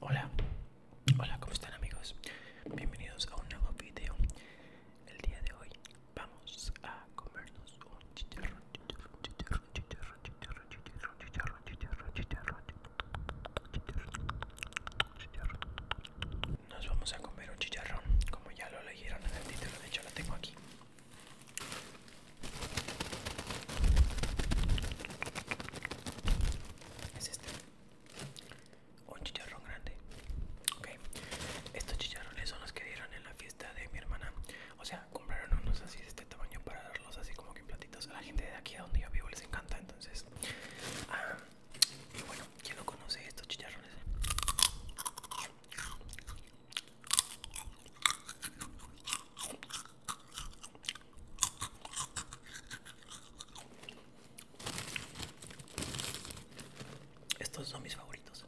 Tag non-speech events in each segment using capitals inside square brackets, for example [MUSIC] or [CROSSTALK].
Hola, hola, ¿cómo están amigos? Bienvenidos a un nuevo video. El día de hoy Vamos a comernos un chicharrón, chicharrón, chicharrón, chicharrón, chicharrón, chicharrón, chicharrón, chicharrón, chicharrón, chicharrón. Nos vamos a comer un chicharrón, como ya lo leyeron en el título, de hecho lo tengo aquí. Este. Un chicharrón grande. Ok. Estos chicharrones son los que dieron en la fiesta de mi hermana o sea compraron unos así de este tamaño para darlos así como que en platitos a la gente de aquí a donde yo vivo les encanta entonces ah, y bueno ¿ya lo conoce estos chicharrones estos son mis favoritos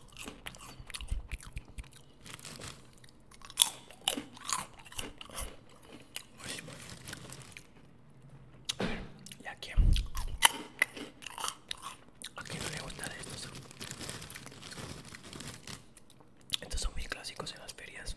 A ¿y aquí ¿A no le gusta de estos? Estos son mis clásicos en las ferias.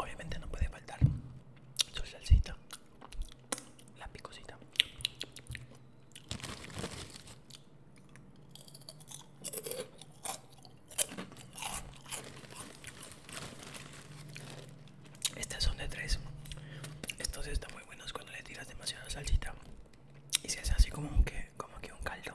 Obviamente no puede faltar su salsita, la picosita. Estas son de tres. Estos están muy buenos cuando le tiras demasiada salsita y se hace así como que, como que un caldo.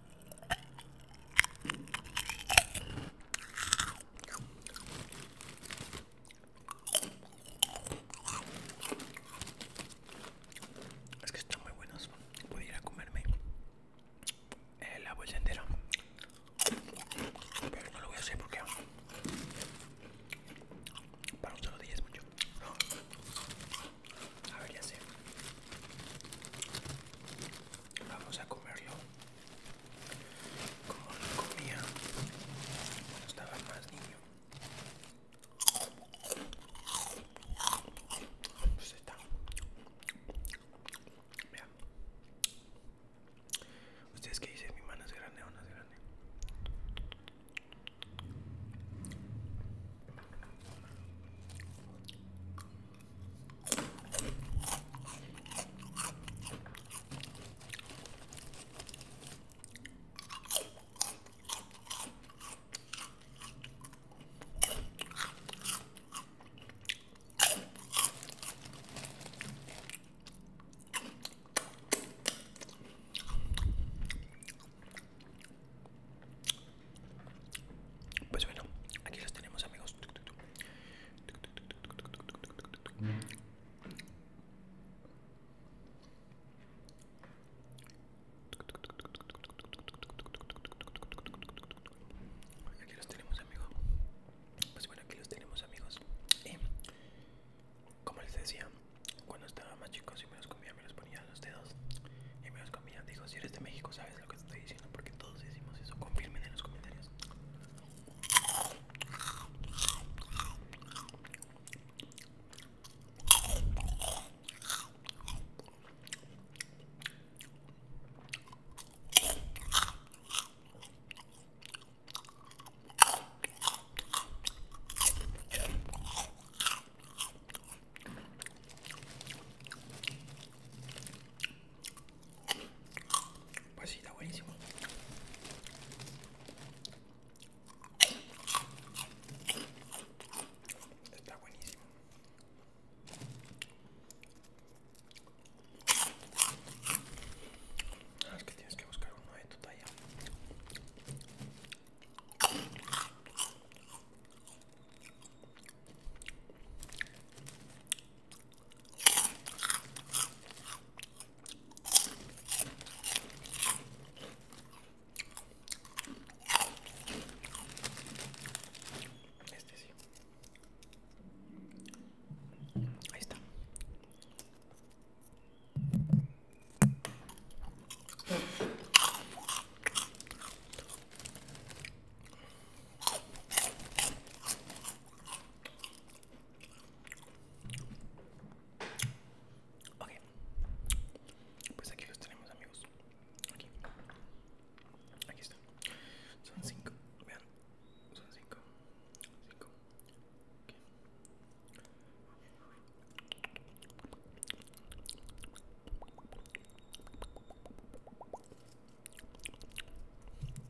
Es que están muy buenos. Voy a ir a comerme la bolsa entera. Pero no lo voy a hacer porque para un solo día es mucho. A ver, ya sé. Vamos a comer yo como lo comía cuando estaba más niño pues, pues está ustedes pues, que dicen mi mano es grande o no es grande pues bueno, aquí los tenemos amigos. Aquí los tenemos, amigos. Pues bueno, aquí los tenemos, amigos. Y como les decía, cuando estaba más chico, si me los comía, me los ponía en los dedos y me los comían, Digo, si eres de México, sabes lo que estoy diciendo porque todos decimos eso. Confirmen en los comentarios. Pues sí, está buenísimo. Está buenísimo. Ah, es que tienes que buscar uno de tu talla. Este sí. Ahí está. Ok, pues aquí los tenemos, amigos. Aquí, aquí están. Son cinco, vean, son cinco, cinco. Ok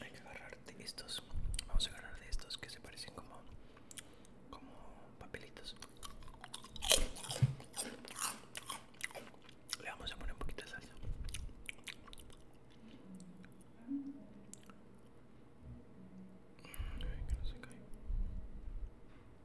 Hay que agarrar de estos. Vamos a agarrar de estos que se parecen como, como papelitos. Le vamos a poner un poquito de salsa. Mm, se cae.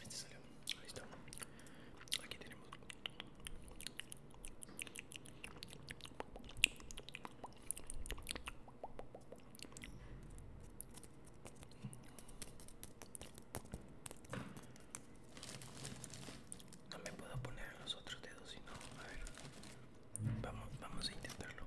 Este salió, listo Aquí tenemos. No me puedo poner los otros dedos, sino a ver. Vamos, vamos a intentarlo.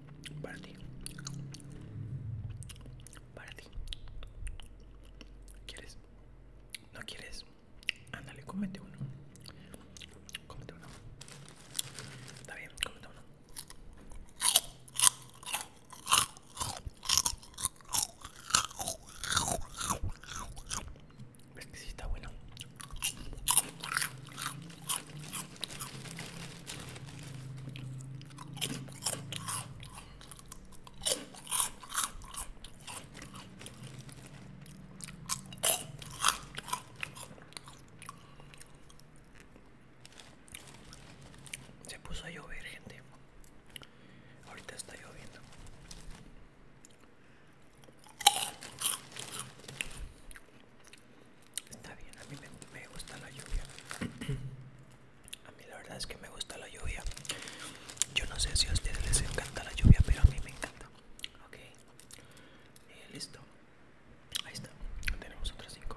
Para ti. Para ti. ¿Quieres? ¿No quieres? Ándale, cómete uno. Cómete uno. Está bien, cómete uno. ¿Ves que sí está bueno? Se puso a llover, gente. Ahorita está lloviendo. Está bien, a mí me, gusta la lluvia. [CLEARS THROAT] a mí la verdad es que me gusta la lluvia. Yo no sé si a ustedes les encanta la lluvia, pero a mí me encanta. Ok, eh, listo. Ahí está, tenemos otras 5.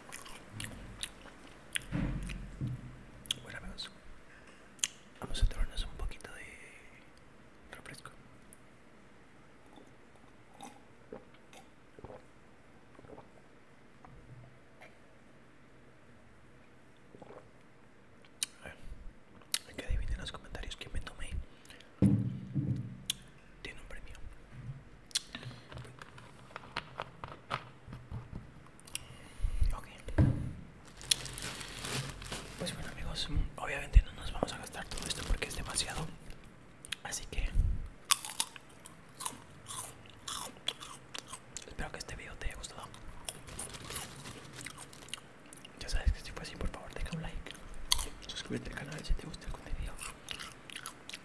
Bueno amigos, vamos a tomarnos un poquito de refresco. Hay que adivinar los comentarios que me tomé tiene un premio. Ok. Pues bueno amigos, obviamente no nos vamos a gastar todo esto porque es demasiado. Así que... Espero que este video te haya gustado. Ya sabes que si fue así, por favor, deja un like. Suscríbete al canal si te gusta el contenido.